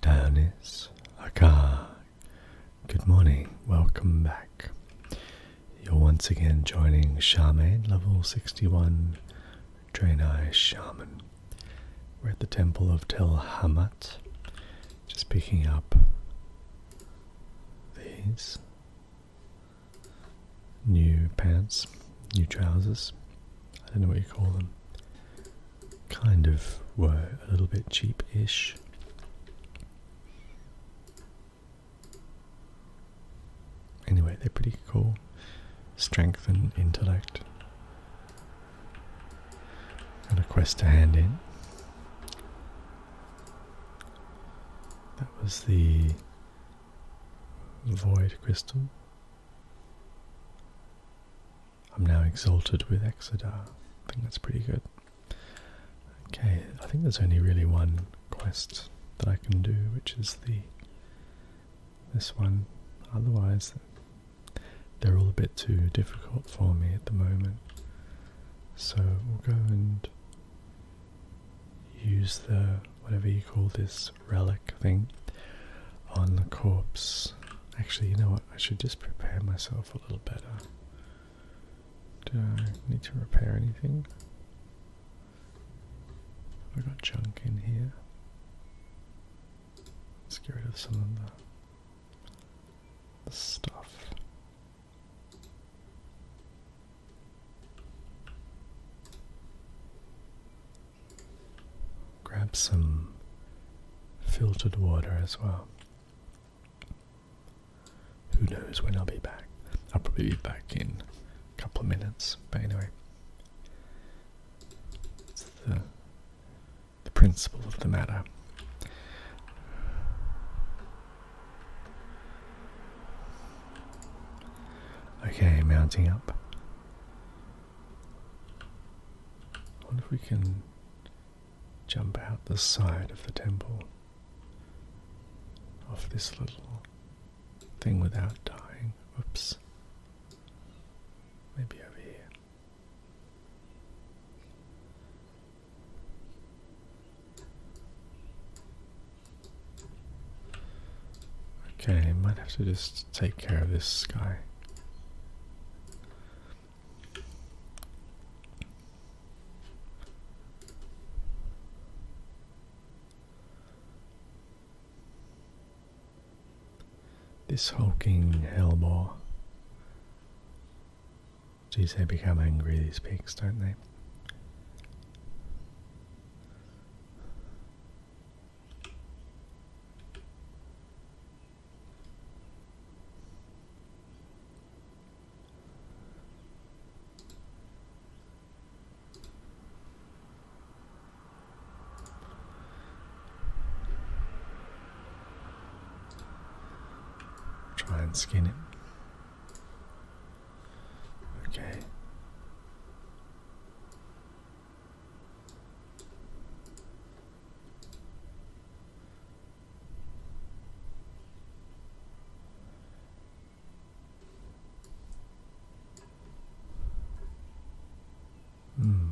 Danis Akar. Good morning, welcome back. You're once again joining Shaman level 61 Draenei Shaman. We're at the temple of Tel Hamat, just picking up these new pants, new trousers. I don't know what you call them kind of were a little bit cheapish. Anyway, they're pretty cool. Strength and intellect. Got a quest to hand in. That was the void crystal. I'm now exalted with Exodar. I think that's pretty good. Okay, I think there's only really one quest that I can do, which is the this one. Otherwise, they're all a bit too difficult for me at the moment. So we'll go and use the whatever you call this relic thing on the corpse Actually, you know what? I should just prepare myself a little better. Do I need to repair anything? Have I got junk in here? Let's get rid of some of the stuff. Grab some filtered water as well. Who knows when I'll be back? I'll probably be back in a couple of minutes, but anyway. It's the, the principle of the matter. Okay, mounting up. I wonder if we can jump out the side of the temple off this little thing without dying. Oops. Maybe over here. Okay, might have to just take care of this sky. This hulking hellbore. Geez, they become angry, these pigs, don't they? Try and skin him. Okay. Hmm.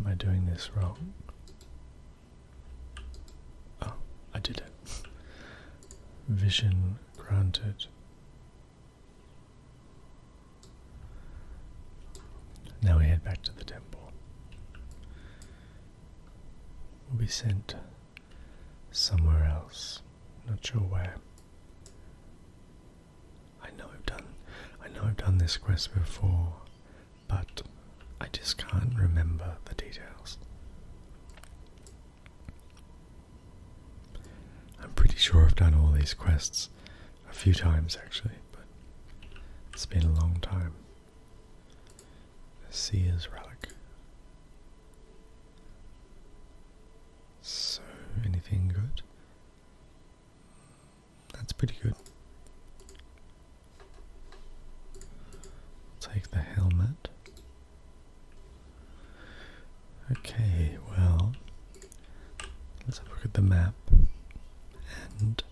Am I doing this wrong? Oh, I did it. Vision granted. Now we head back to the temple. We'll be sent somewhere else. Not sure where. I know I've done I know I've done this quest before, but I just can't remember the details. I'm pretty sure I've done all these quests a few times actually, but it's been a long time. The Seer's Relic. So, anything good? That's pretty good. Take the helmet. Okay, well, let's have a look at the map, and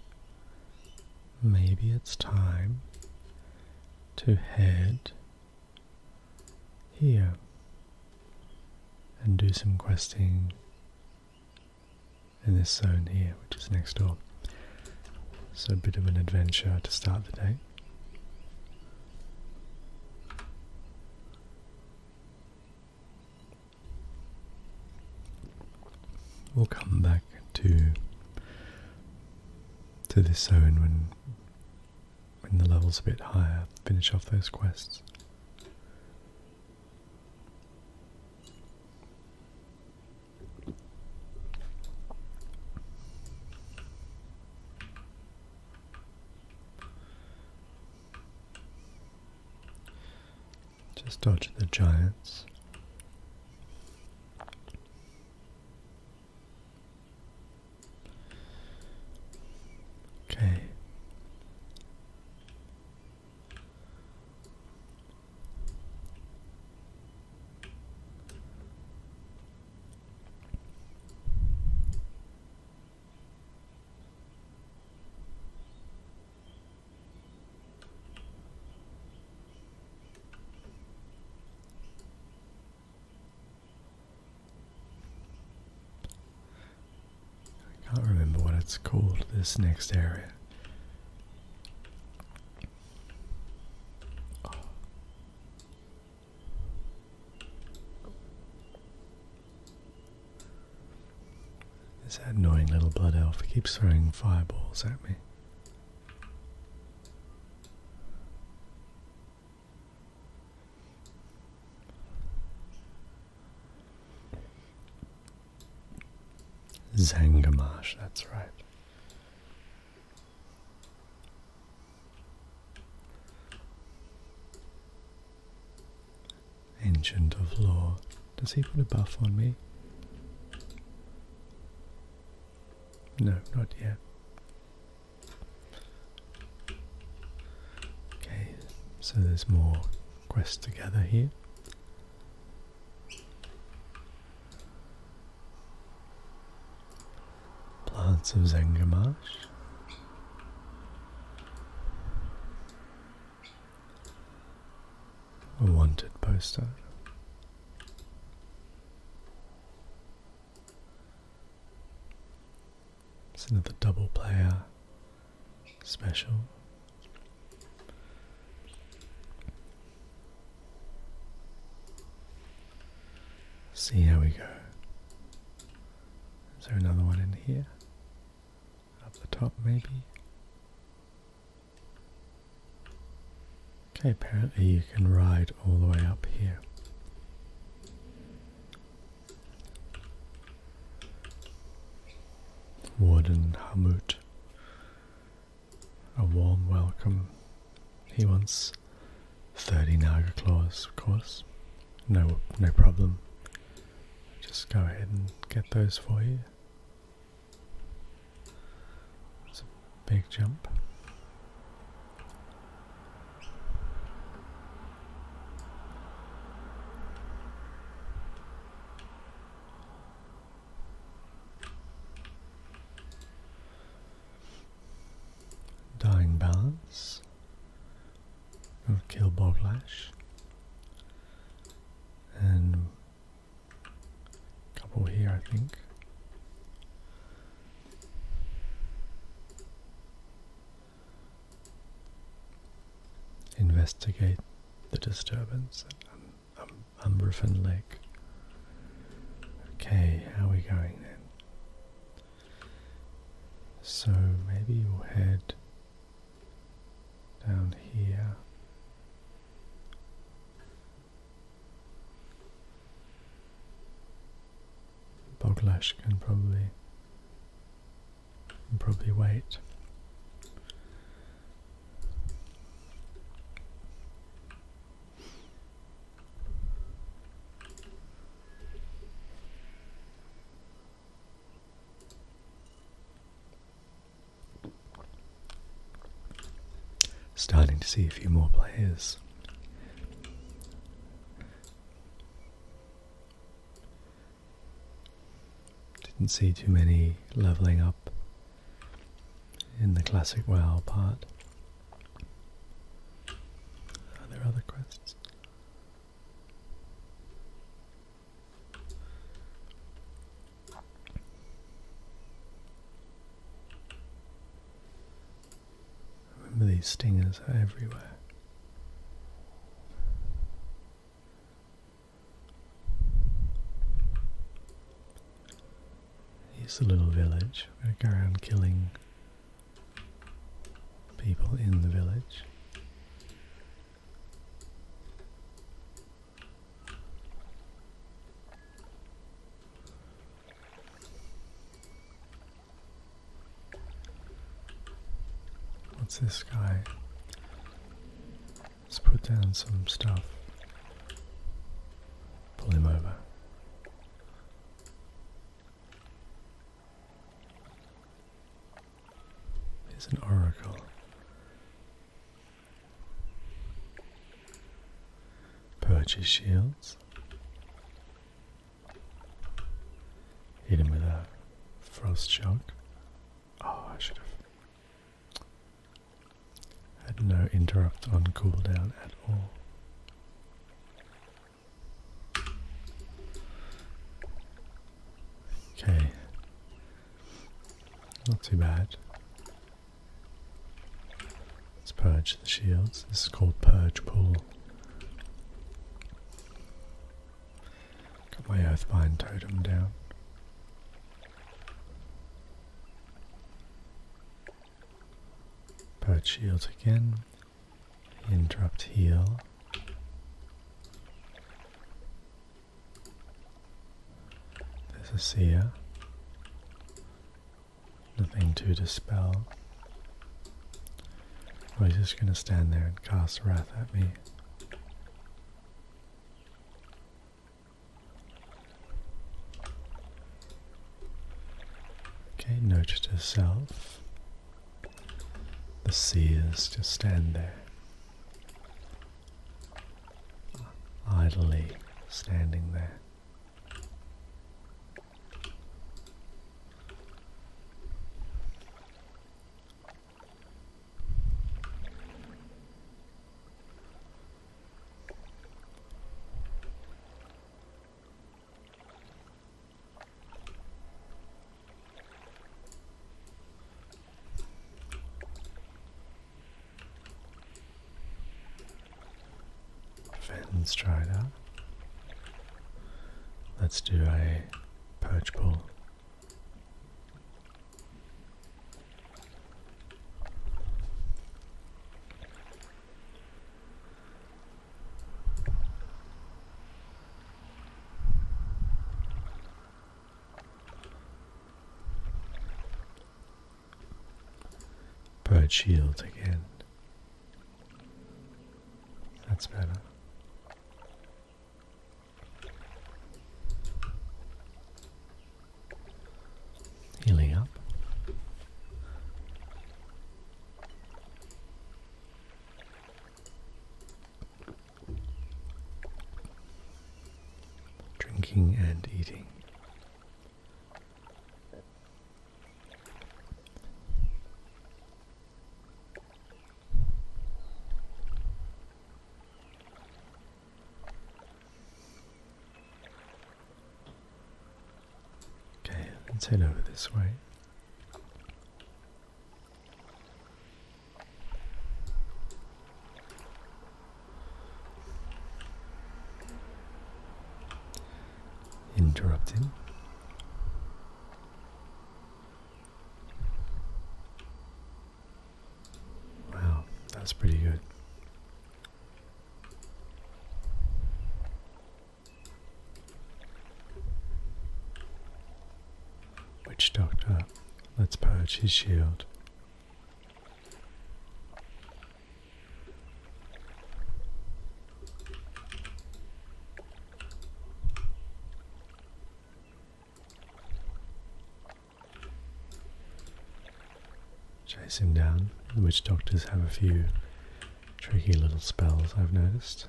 maybe it's time to head here and do some questing in this zone here, which is next door. So, a bit of an adventure to start the day. We'll come back to to this zone when when the level's a bit higher, finish off those quests. Just dodge the giants. Okay. I can't remember what it's called, this next area. This annoying little blood elf keeps throwing fireballs at me. Zangamash, that's right. Ancient of Law. Does he put a buff on me? No, not yet. Okay, so there's more quests to gather here. Plants of Zangamarsh. A wanted poster. It's another double player special. See how we go. Is there another one in here? Up the top, maybe? Okay, apparently you can ride all the way up here. Warden Hamut. A warm welcome. He wants 30 Naga claws, of course. No, no problem. Just go ahead and get those for you. big jump. Dying balance. We'll kill Boglash. And a couple here, I think. Investigate the disturbance at um, um, Umberfin Lake. Okay, how are we going then? So maybe you'll head down here. Boglash can probably can probably wait. Starting to see a few more players. Didn't see too many leveling up in the classic WoW part. Are there other quests? Remember these stingers are everywhere. Here's a little village. We're going to go around killing people in the village. What's this guy? Let's put down some stuff. Pull him over. It's an oracle. Purchase shields. Hit him with a frost shock. Oh, I should have had no interrupt on cooldown at all. Okay. Not too bad. Let's purge the shields. This is called Purge Pool. Got my Earthbind Totem down. Purge shields again. Interrupt heal. There's a seer. Nothing to dispel. Oh, he's just going to stand there and cast wrath at me. Okay, notice to the seers just stand there, idly standing there. Let's try that. Let's do a perch pull. Bird shield again. That's better. Healing up. Drinking and eating. Okay, let's head over this way. Interrupting. Wow, that's pretty good. Witch Doctor, let's purge his shield. Chase him down. The witch doctors have a few tricky little spells I've noticed.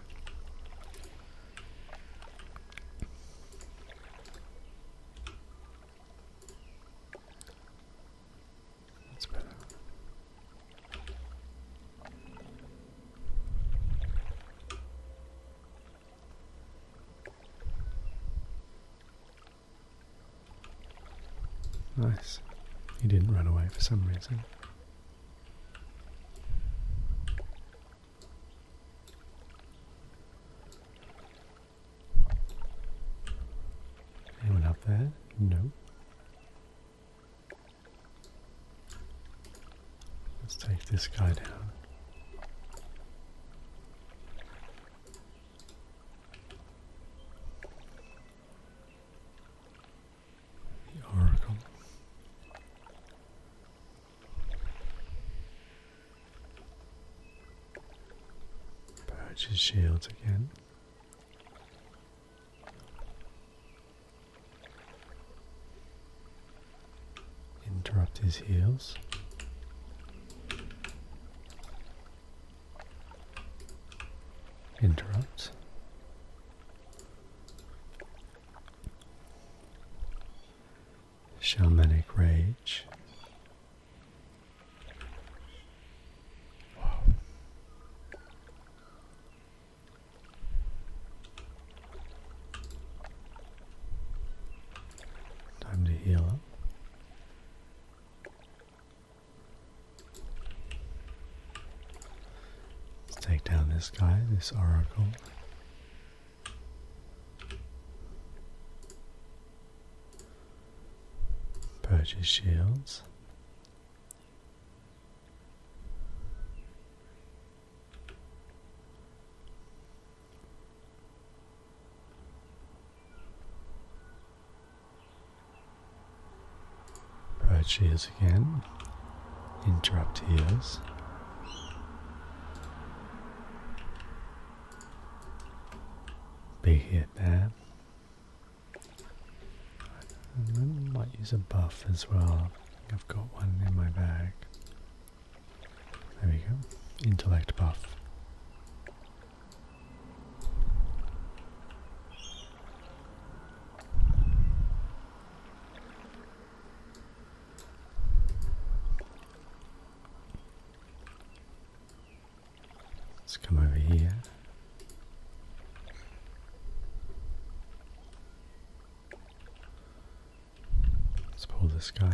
That's better. Nice. He didn't run away for some reason. Anyone out there? No. Let's take this guy down. The Oracle. Purchase shields again. Interrupt his heels. Interrupt. Shamanic Rage. Time to heal up. Let's take down this guy, this oracle. Purchase shields. Approach ears again. Interrupt ears. Big hit there. I might use a buff as well. I've got one in my bag. There we go. Intellect buff. Let's come over here. Let's pull this guy.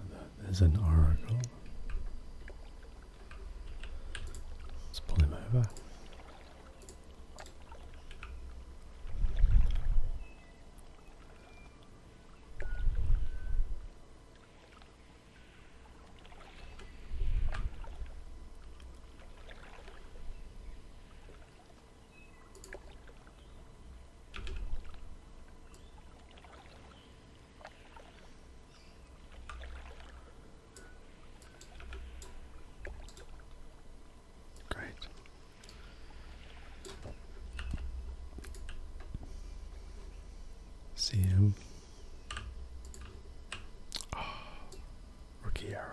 And that is an oracle. Let's pull him over. Great. See ah, rookie era.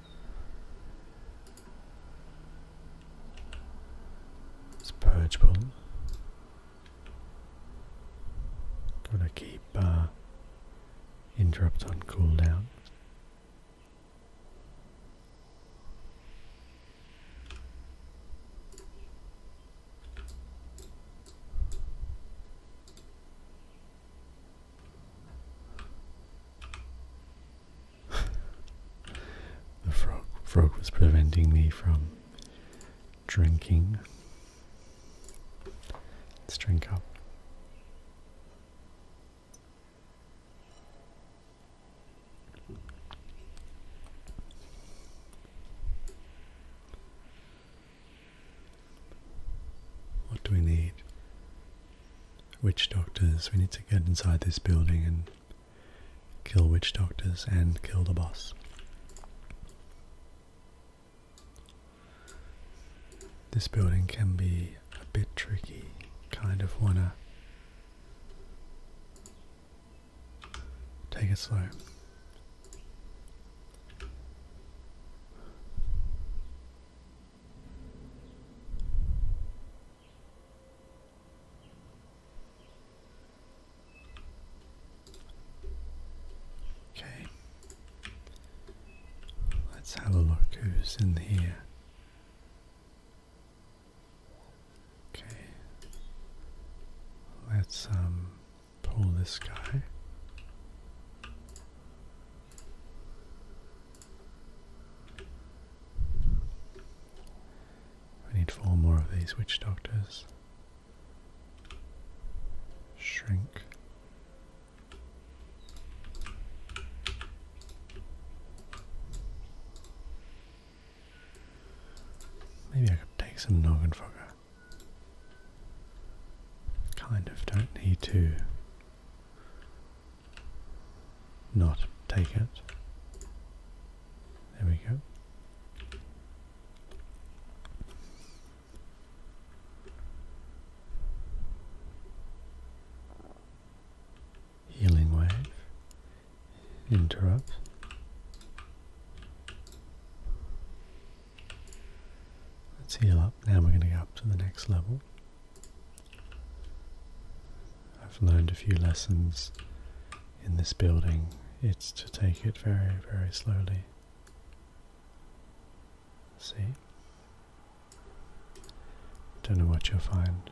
It's purgeable. Gonna keep uh, interrupt on cooldown the frog, was preventing me from drinking. Let's drink up. What do we need? witch doctors. We need to get inside this building and kill witch doctors and kill the boss. This building can be a bit tricky. Kind of wanna take it slow. Okay, let's have a look who's in here. Okay, let's um, pull this guy. I need four more of these witch doctors. Shrink. Maybe I could take some Nogenfogger. Kind of don't need to not take it. There we go. Healing wave. Interrupt. Let's heal up. Now we're going to go up to the next level. I've learned a few lessons in this building. It's to take it very, very slowly. See? Don't know what you'll find.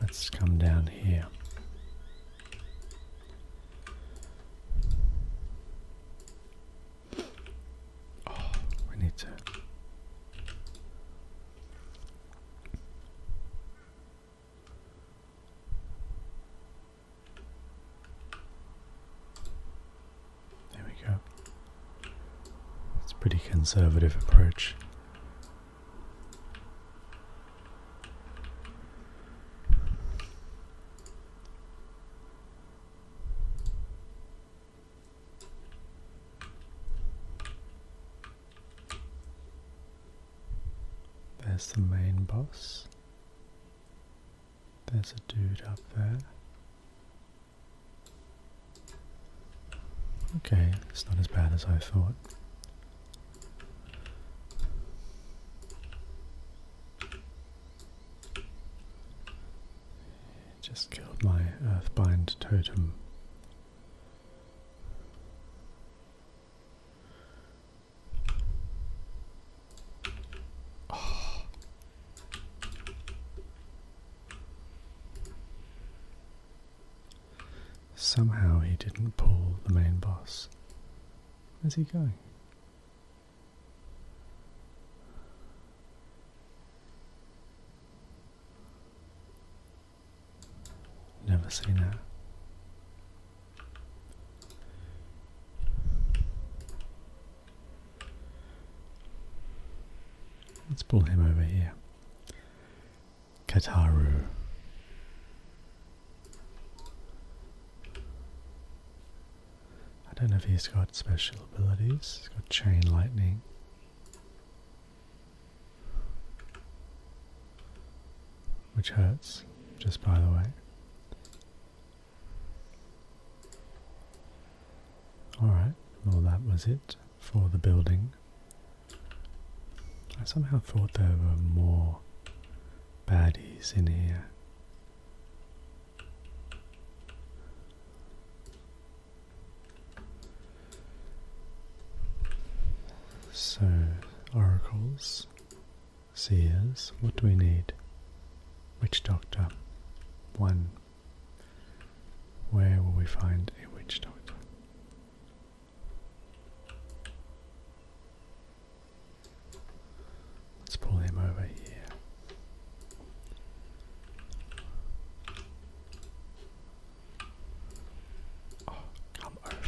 Let's come down here. Oh, we need to. There we go. It's a pretty conservative approach. There's the main boss. There's a dude up there. Okay, it's not as bad as I thought. Just killed my earthbind totem. Somehow he didn't pull the main boss. Where's he going? Never seen that. Let's pull him over here. Kataru. I don't know if he's got special abilities. He's got chain lightning. Which hurts, just by the way. Alright, well, that was it for the building. I somehow thought there were more baddies in here. So, oracles. Seers, what do we need? Witch doctor. One. Where will we find a witch doctor? Let's pull him over here. Oh, come over.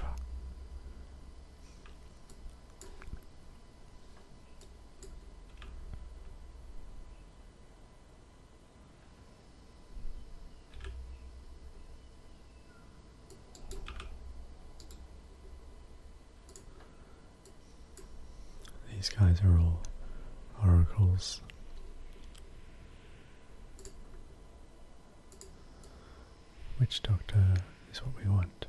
These guys are all oracles. Witch doctor is what we want?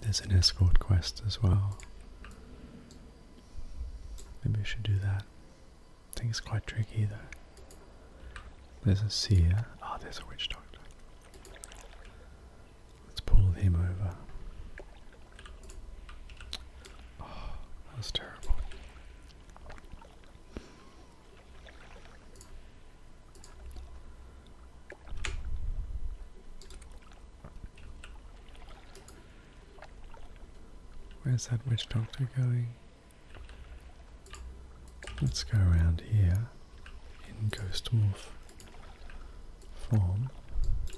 There's an escort quest as well. Maybe we should do that. I think it's quite tricky though. There's a seer. Ah, oh, there's a witch doctor. Let's pull him over. Oh, that was terrible. Where's that witch doctor going? Let's go around here in ghost morph form,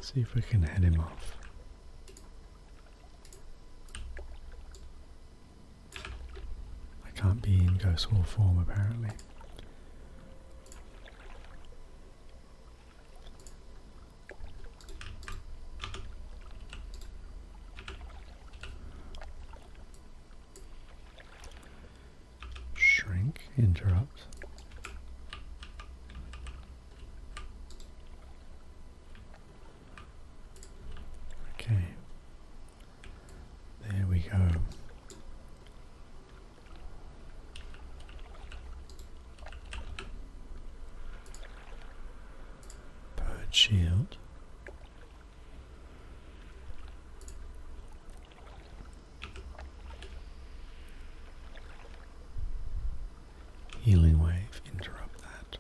see if we can head him off. I can't be in ghost form apparently. Shrink, interrupt. Okay, there we go. Bird shield. Healing wave, interrupt that.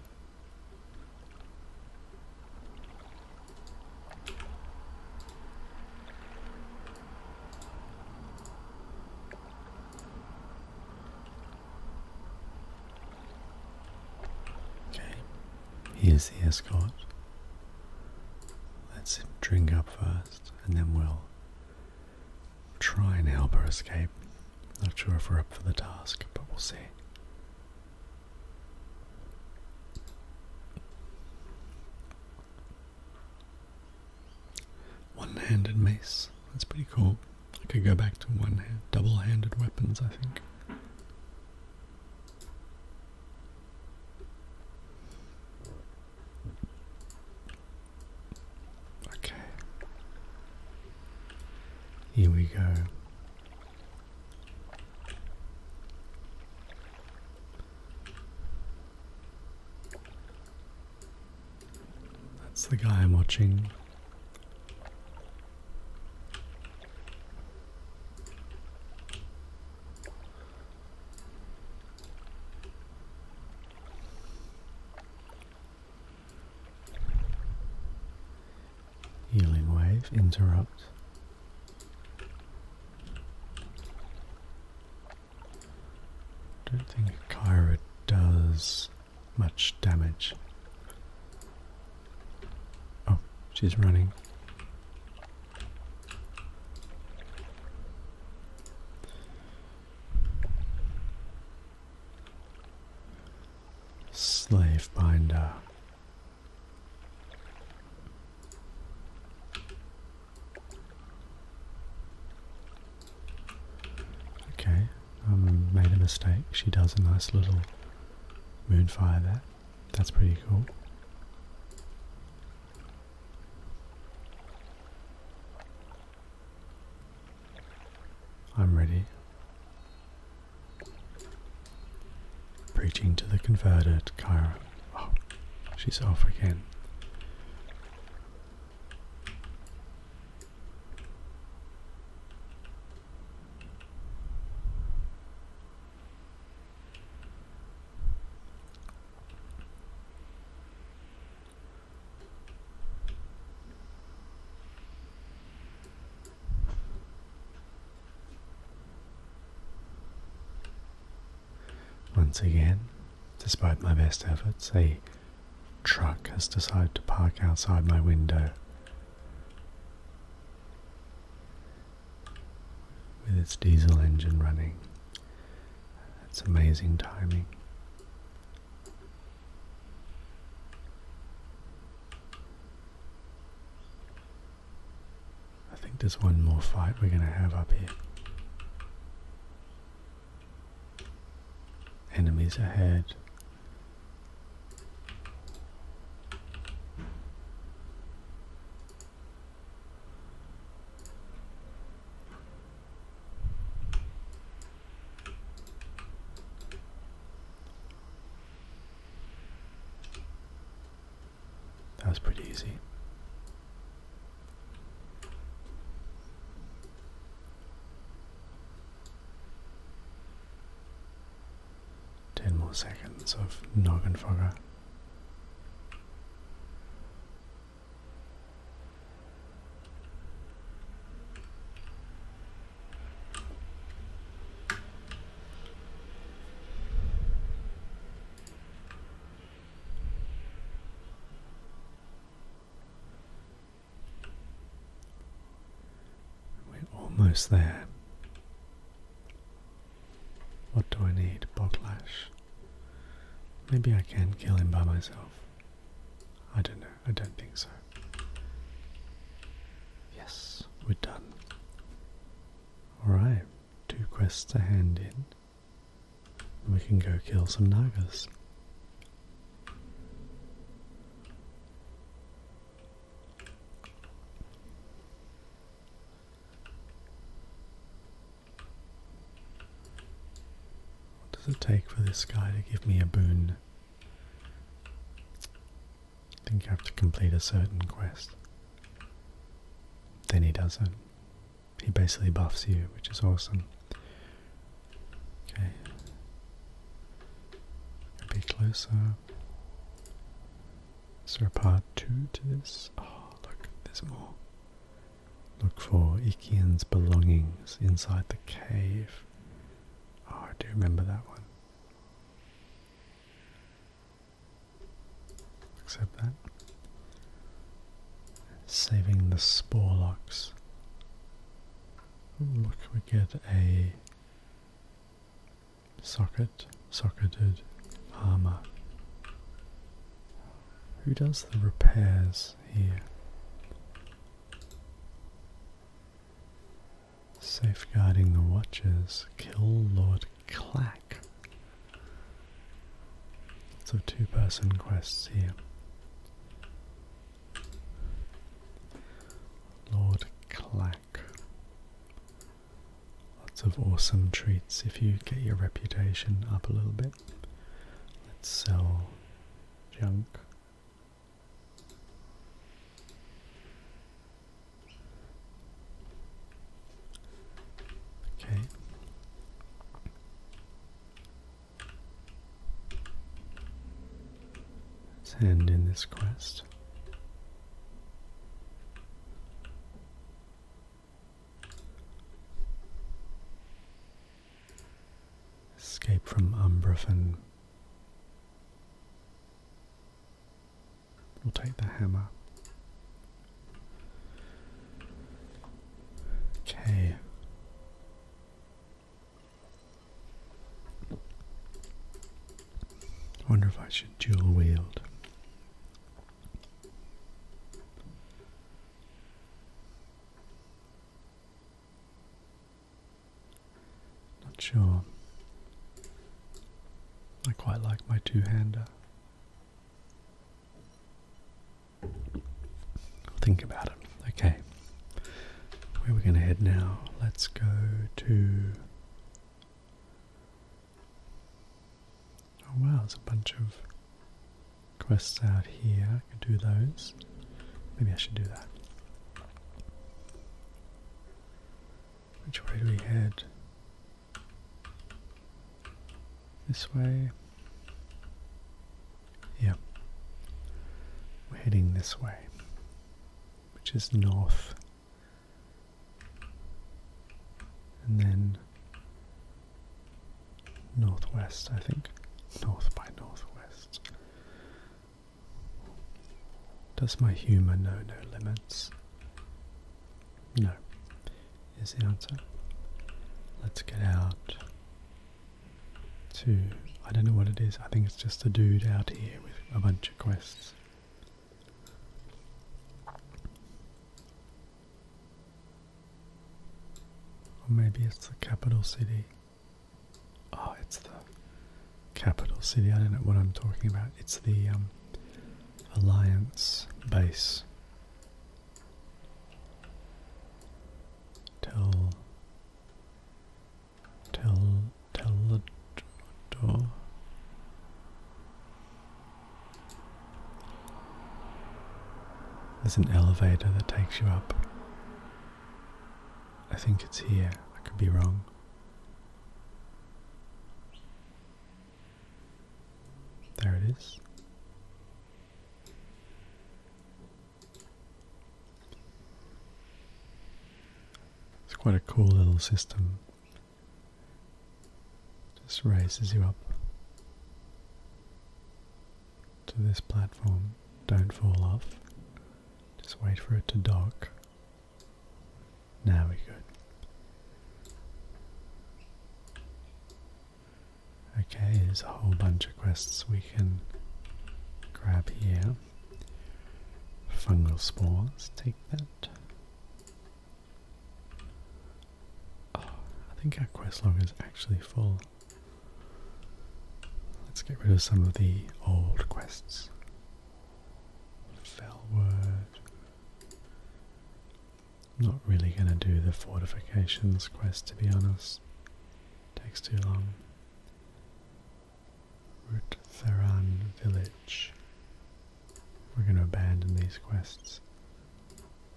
Okay, here's the escort. Let's drink up first and then we'll try and help her escape. Not sure if we're up for the task, but we'll see. One-handed mace. That's pretty cool. I could go back to one handed double-handed weapons, I think. Okay. Here we go. That's the guy I'm watching. Healing wave, interrupt. Don't think Kyra does much damage. Oh, she's running. Slave binder. Okay, I um, made a mistake. She does a nice little moonfire there. That's pretty cool. I'm ready. Preaching to the converted, Kyra. Oh, she's off again. Once again, despite my best efforts, a truck has decided to park outside my window. With its diesel engine running. It's amazing timing. I think there's one more fight we're going to have up here. Enemies ahead. That was pretty easy. Ten more seconds of Nogenfogger. We're almost there. What do I need? Boglash. Maybe I can kill him by myself. I don't know. I don't think so. Yes, we're done. Alright, two quests to hand in. We can go kill some Nagas. What does it take for this guy to give me a boon? I think you have to complete a certain quest. Then he does it. He basically buffs you, which is awesome. Okay. A bit closer. Is part two to this? Oh, look, there's more. Look for Ikian's belongings inside the cave. Oh, I do remember that one. Except that. Saving the spore locks. look, we get a socketed hammer. Who does the repairs? here. Safeguarding the watches. kill Lord Clack. So two person quests here. Lord Clack. Lots of awesome treats if you get your reputation up a little bit. Let's sell junk. Okay. Let's end in this quest. Escape from Umbrofen. We'll take the hammer. Okay. Wonder if I should dual wield. Not sure. I quite like my two-hander. Think about it. Okay. Where are we going to head now? Let's go to. Oh wow, there's a bunch of quests out here. I could do those. Maybe I should do that. Which way do we head? This way? Yeah. We're heading this way, which is north. And then northwest, I think. North by northwest. Does my humour know no limits? No, is the answer. Let's get out to. I don't know what it is, I think it's just a dude out here with a bunch of quests. Or maybe it's the capital city. Oh, it's the capital city. I don't know what I'm talking about. It's the um, Alliance base. Tell. Tell. Tell the door. There's an elevator that takes you up. I think it's here, I could be wrong. There it is. It's quite a cool little system. Just raises you up to this platform. Don't fall off. Just wait for it to dock. Now we could. Okay, there's a whole bunch of quests we can grab here. Fungal spores, take that. Oh, I think our quest log is actually full. Let's get rid of some of the old quests. Fellward. not really going to do the fortifications quest to be honest. takes too long. Root Village. We're going to abandon these quests.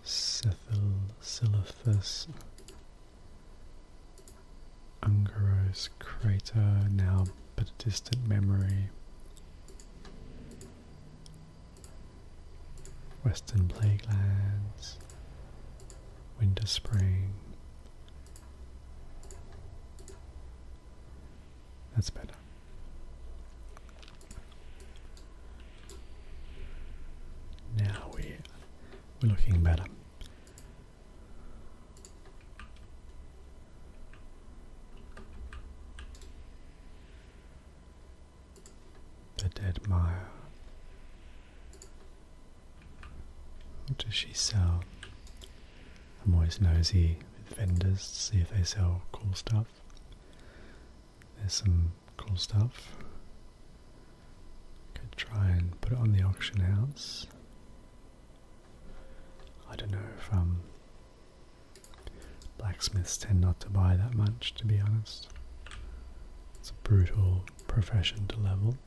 Cephalophus Ungaros crater, now but a distant memory. Western Plaguelands, Winter Spring. That's better. Now we, are looking better. The dead mire. What does she sell? I'm always nosy with vendors to see if they sell cool stuff. There's some Cool stuff. Could try and put it on the auction house. I don't know if um, blacksmiths tend not to buy that much, to be honest. It's a brutal profession to level.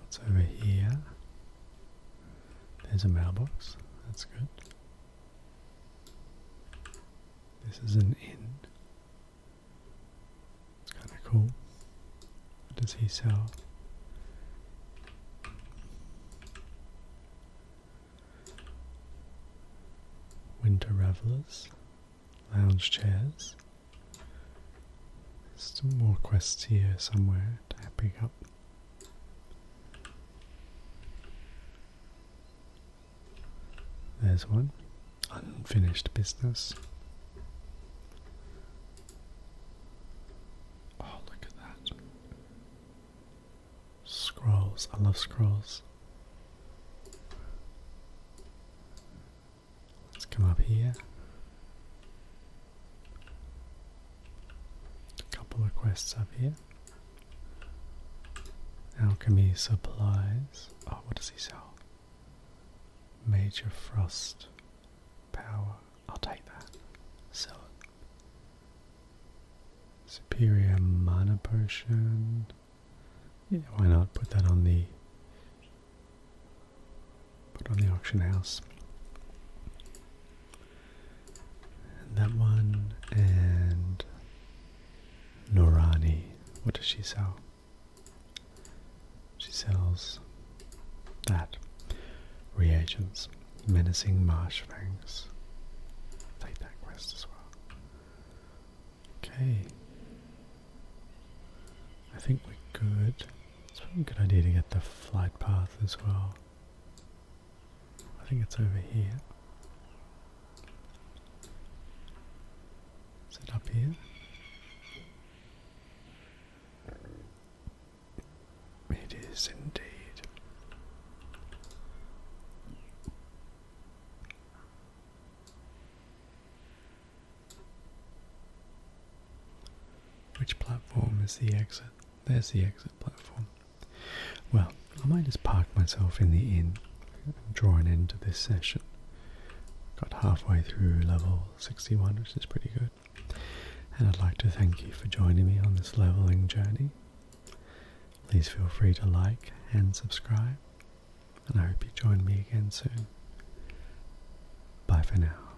What's over here? There's a mailbox. That's good. This is an inn. It's kind of cool. What does he sell? Winter revelers, lounge chairs. Some more quests here somewhere to pick up. There's one. Unfinished business. Oh, look at that. Scrolls. I love scrolls. Let's come up here. A couple of quests up here. Alchemy supplies. Oh, what does he sell? Major frost power. I'll take that. Sell Superior mana potion. why not put that on the put on the auction house. And that one and Norani. What does she sell? She sells that. Reagents. Menacing marsh Take that quest as well. Okay. I think we're good. It's probably a good idea to get the flight path as well. I think it's over here. Is it up here? It is indeed. Which platform is the exit? There's the exit platform. Well, I might just park myself in the inn and draw an end to this session. Got halfway through level 61, which is pretty good. And I'd like to thank you for joining me on this leveling journey. Please feel free to like and subscribe. And I hope you join me again soon. Bye for now.